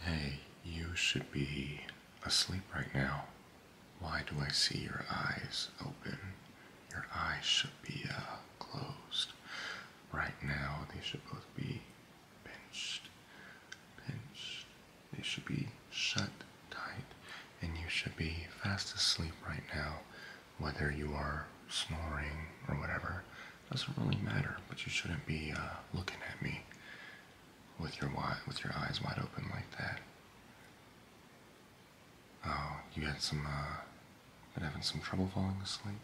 Hey, you should be asleep right now. Why do I see your eyes open? Your eyes should be uh, closed. Right now, they should both be pinched. Pinched. They should be shut tight. And you should be fast asleep right now, whether you are snoring or whatever. Doesn't really matter, but you shouldn't be uh, looking at me with your wide, with your eyes wide open like that. Oh, you had some, uh, been having some trouble falling asleep?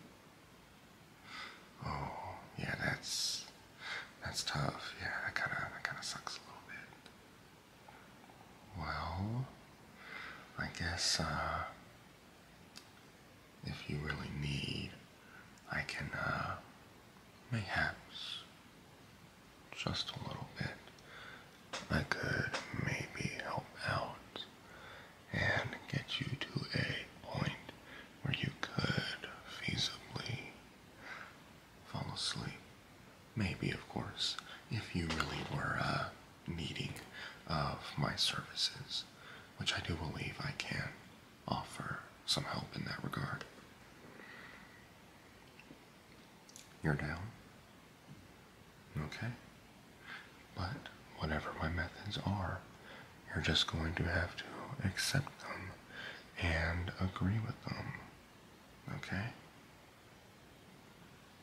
Oh, yeah, that's, that's tough. Yeah, that kind of, that kind of sucks a little bit. Well, I guess, uh, if you really need, I can, uh, mayhaps, just a little bit, I could maybe help out and get you to a point where you could feasibly fall asleep. Maybe, of course, if you really were, uh, needing of my services which I do believe I can offer some help in that regard. You're down? Okay. But whatever my methods are, you're just going to have to accept them and agree with them. Okay?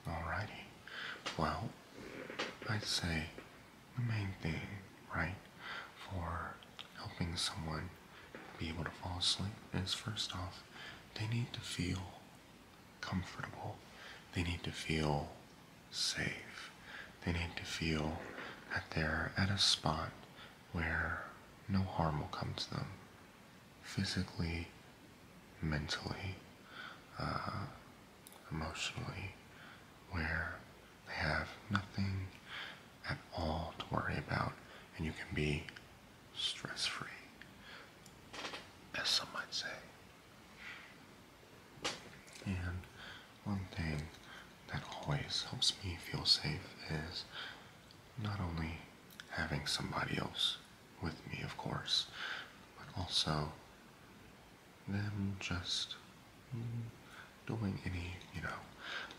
Alrighty. Well, i say the main thing, right, for helping someone be able to fall asleep is first off, they need to feel comfortable. They need to feel safe. They need to feel that they're at a spot where no harm will come to them physically, mentally, uh, emotionally where they have nothing at all to worry about and you can be stress free, as some might say. And one thing that always helps me feel safe is not only having somebody else with me, of course, but also them just mm, doing any, you know,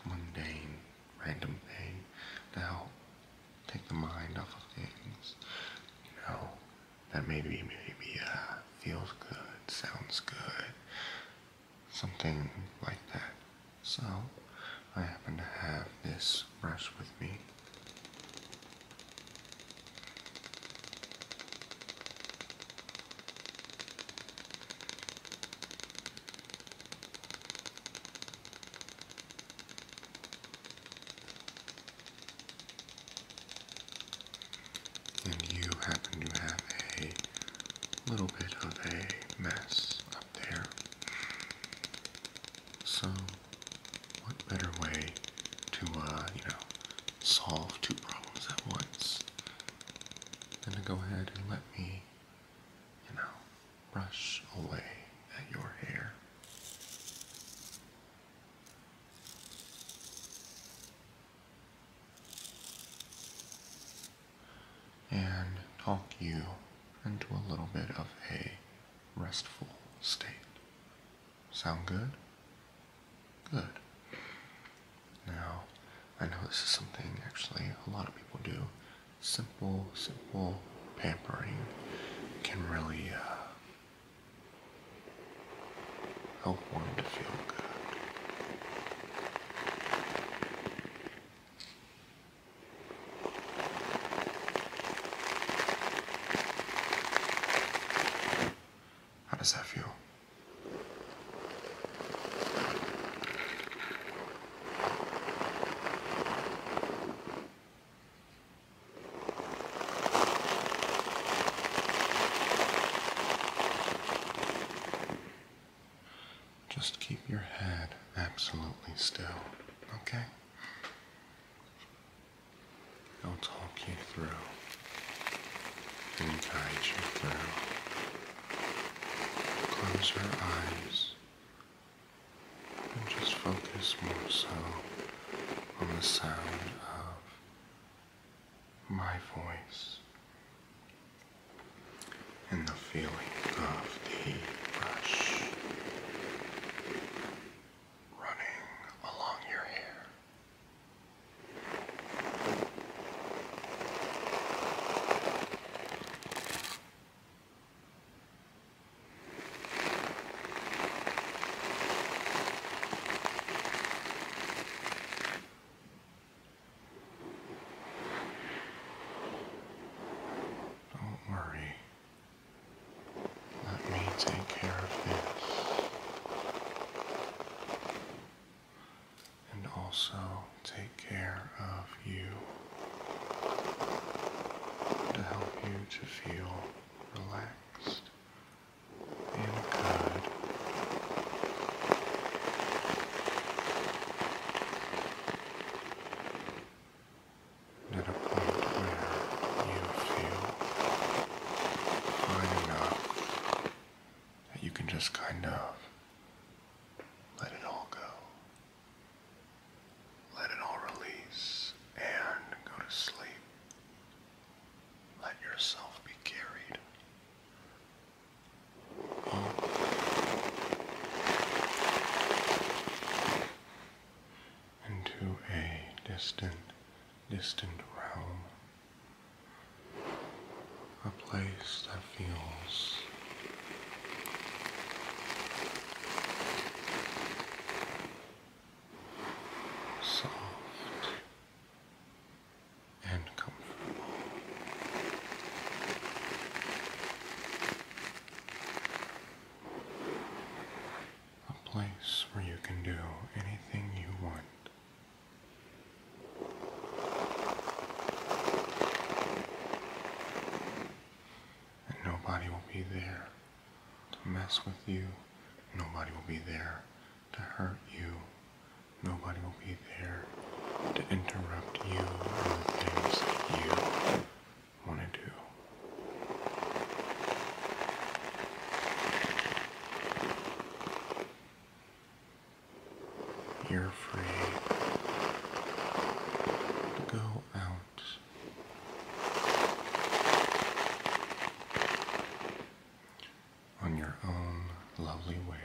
mundane, random thing to help take the mind off of things, you know, that maybe, maybe, uh, feels good, sounds good, something like that. So, I happen to have this brush with me. And you happen to have a little bit of a mess up there. So, what better way to, uh, you know, solve two problems at once and to go ahead and let me, you know, brush away at your hair. And talk you into a little bit of a restful state Sound good? Good. Now, I know this is something actually a lot of people do. Simple, simple pampering can really uh, help one to feel good. How does that feel? Just keep your head absolutely still, okay? I'll talk you through and guide you through. Close your eyes and just focus more so on the sound of my voice and the feeling of the brush running along your hair. Don't worry, let me take care of this. And also take care of you to help you to feel relaxed and good at a point where you feel fine enough that you can just kind of let it all go. Let it all release and go to sleep. Let yourself be carried into a distant, distant realm. A place that feels soft and comfortable a place where you can do anything you want. And nobody will be there to mess with you. Nobody will be there to hurt you. Nobody will be there to interrupt you in things you want to do. You're free to go out on your own lovely way,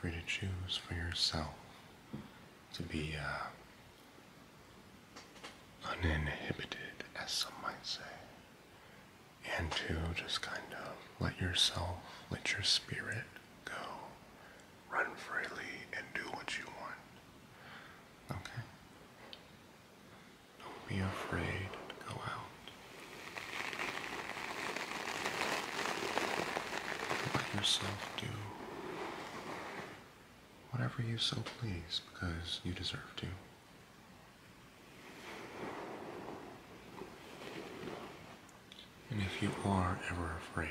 free to choose for yourself to be uh, uninhibited, as some might say, and to just kind of let yourself, let your spirit go, run freely, and do what you want. Okay? Don't be afraid to go out. Let yourself do whatever you so please, because you deserve to. And if you are ever afraid,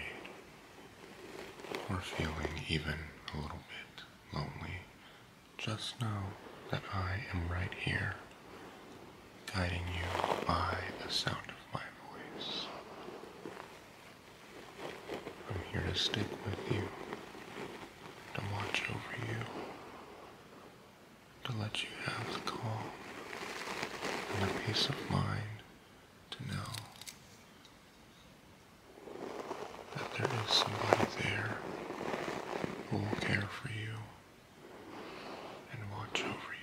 or feeling even a little bit lonely, just know that I am right here, guiding you by the sound of my voice. I'm here to stick with you, to watch over you, to let you have the calm and the peace of mind to know that there is somebody there who will care for you and watch over you.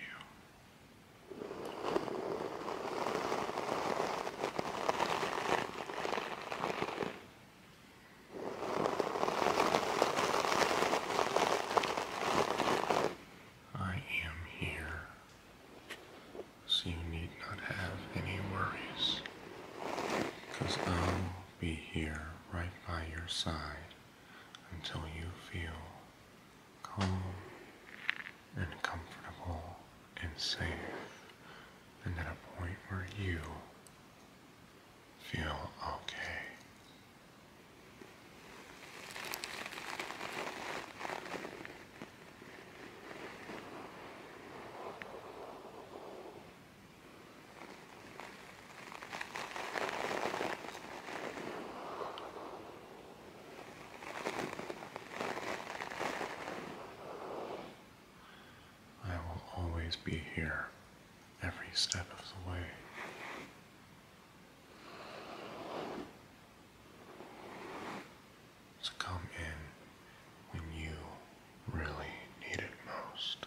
I am here, so you need not have any worries, because I'll be here right by your side until you feel calm and comfortable and safe and at a point where you feel okay. I will always be here every step of the way. So come in when you really need it most.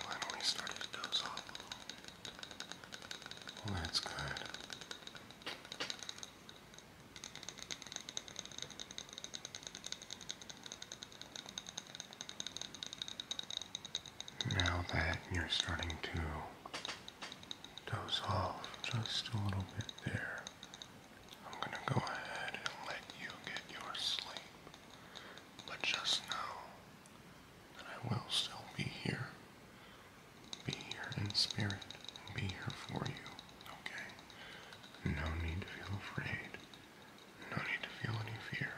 finally started to doze off a little that's good. Now that you're starting to doze off just a little bit there, I'm going to go ahead and let you get your sleep. But just know that I will still be here. Be here in spirit and be here for you, okay? No need to feel afraid. No need to feel any fear.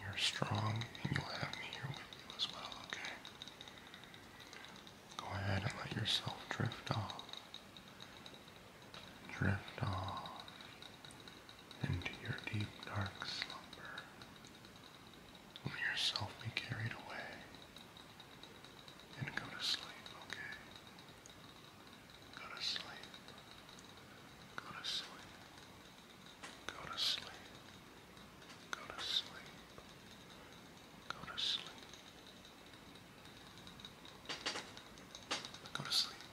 You're strong and you'll have me here with you as well, okay? Go ahead and let yourself drift off. Drift off into your deep dark slumber. Let yourself be carried away and go to sleep, okay? Go to sleep. Go to sleep. Go to sleep. Go to sleep. Go to sleep. Go to sleep.